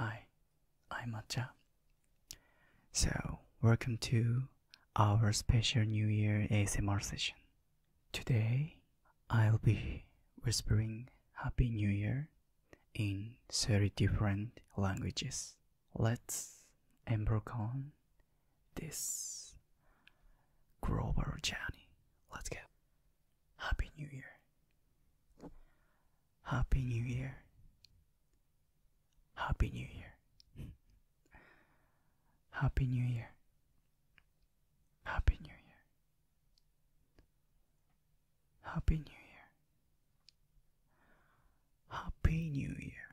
Hi, I'm Matcha. So, welcome to our special New Year ASMR session. Today, I'll be whispering Happy New Year in 30 different languages. Let's embark on this global journey. Let's go. Happy New Year. Happy New Year. Happy New Year. Happy New Year. Happy New Year. Happy New Year. Happy New Year.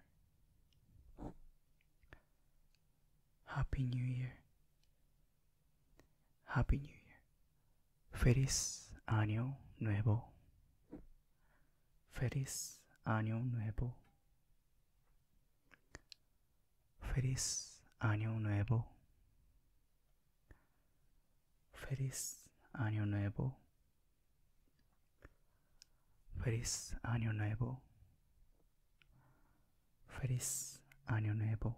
Happy New Year. Happy New Year. Feliz año nuevo. Feliz año nuevo. Feliz año nuevo. Feliz año nuevo. Feliz año nuevo. Feliz año nuevo.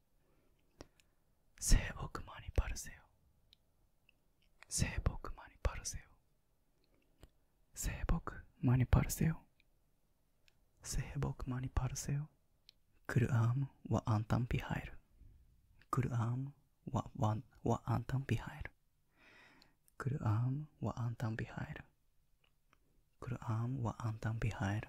聖木マニパルセオ聖木マニパルセオ聖木マニパルセオ聖木マニパルセオクルアームはアンタンピハイルクルアームはワンはアンタンピハイルクルアームはアンタンピハイルクルアームはアンタンピハイル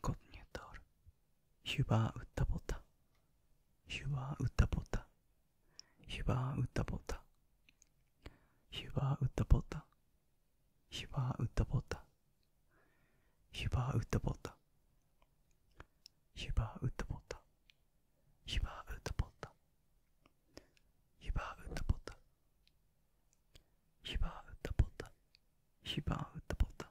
Konjunktur. Hyvää uutta vuotta. Hyvää uutta vuotta. Hyvää uutta vuotta. Hyvää uutta vuotta. Hyvää uutta vuotta. Hyvää uutta vuotta. Hyvää uutta vuotta. Hyvää uutta vuotta. Hyvää uutta vuotta. Hyvää uutta vuotta. Hyvää uutta vuotta.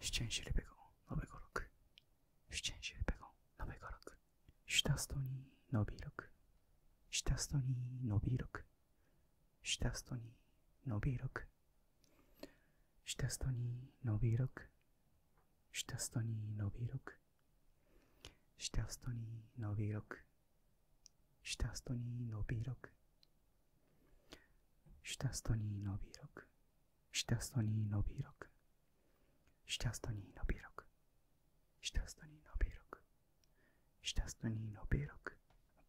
szczęśliwego szczęśliwego nowego roku. Stastoni nowy rok. Stastoni nowy rok. Stastoni nowy rok. Stastoni nowy rok. Stastoni nowy rok. Stastoni nowy rok. Stastoni nowy rok. Stastoni nowy rok. 下ストに伸び6下ストに伸び6下ストに伸び6下ストに伸び6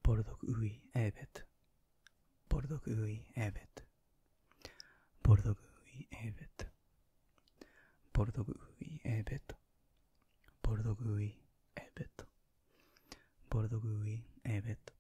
ボルドクウイエーベットボルドクウイエーベットボルドグウィエーベットボルドグウィエーベットボルドグウィエーベットボルドグウィエーベット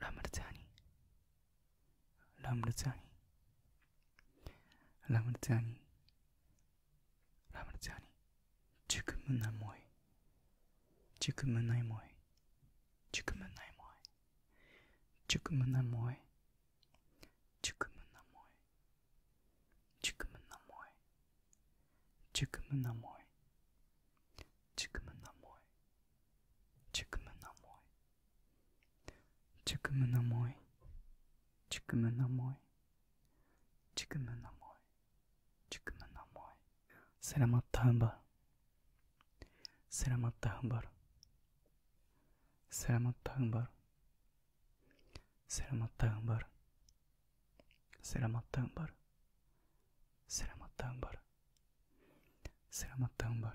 Ramrjani Ramrjani Ramrjani Ramrjani Çıkımına moy Çıkımına moy Çıkımına moy Çıkımına moy Çıkımına moy Çıkımına moy Çıkımına moy Çıkımına moy Chukmunamoi. Chukmunamoi. Chukmunamoi. Chukmunamoi. Chukmunamoi. Selamat hamba. Selamat hambar. Selamat hambar. Selamat hambar. Selamat hambar. Selamat hambar. Selamat hambar.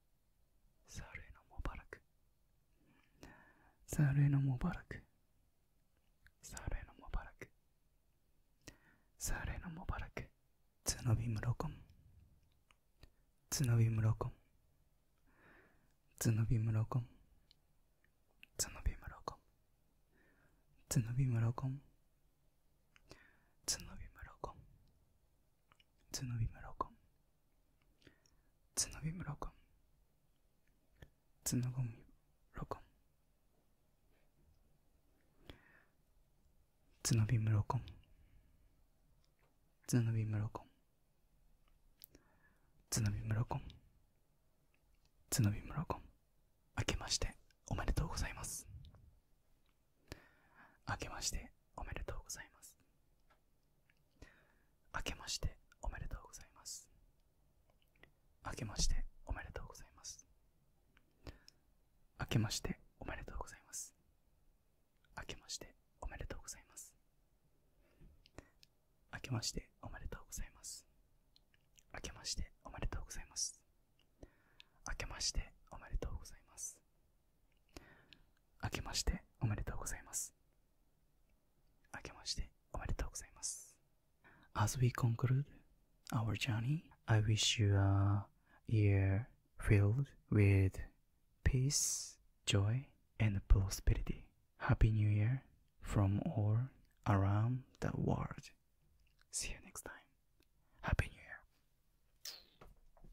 Sareno Mubarak. Sareno Mubarak. Sareno Mubarak. Sareno Mubarak. Tsunobi Murokom. Tsunobi Murokom. Tsunobi Murokom. Tsunobi Murokom. Tsunobi Murokom. つのびむろこん Tsunobi Murakami Tsunobi Murakami Tsunobi Murakami Tsunobi Murakami Tsunobi Murakami Tsunobi Murakami Tsunobi Murakami 明けましておめでとうございます明けましておめでとうございます明けましておめでとうございます明けましておめでとうございます明けましておめでとうございます明けましておめでとうございます明けましておめでとうございます明けましておめでとうございます明けましておめでとうございますます明けましておめでとうございます明けましておめでとうございます As we conclude our journey, I wish you a year filled with peace, joy, and prosperity. Happy New Year from all around the world. See you next time. Happy New Year.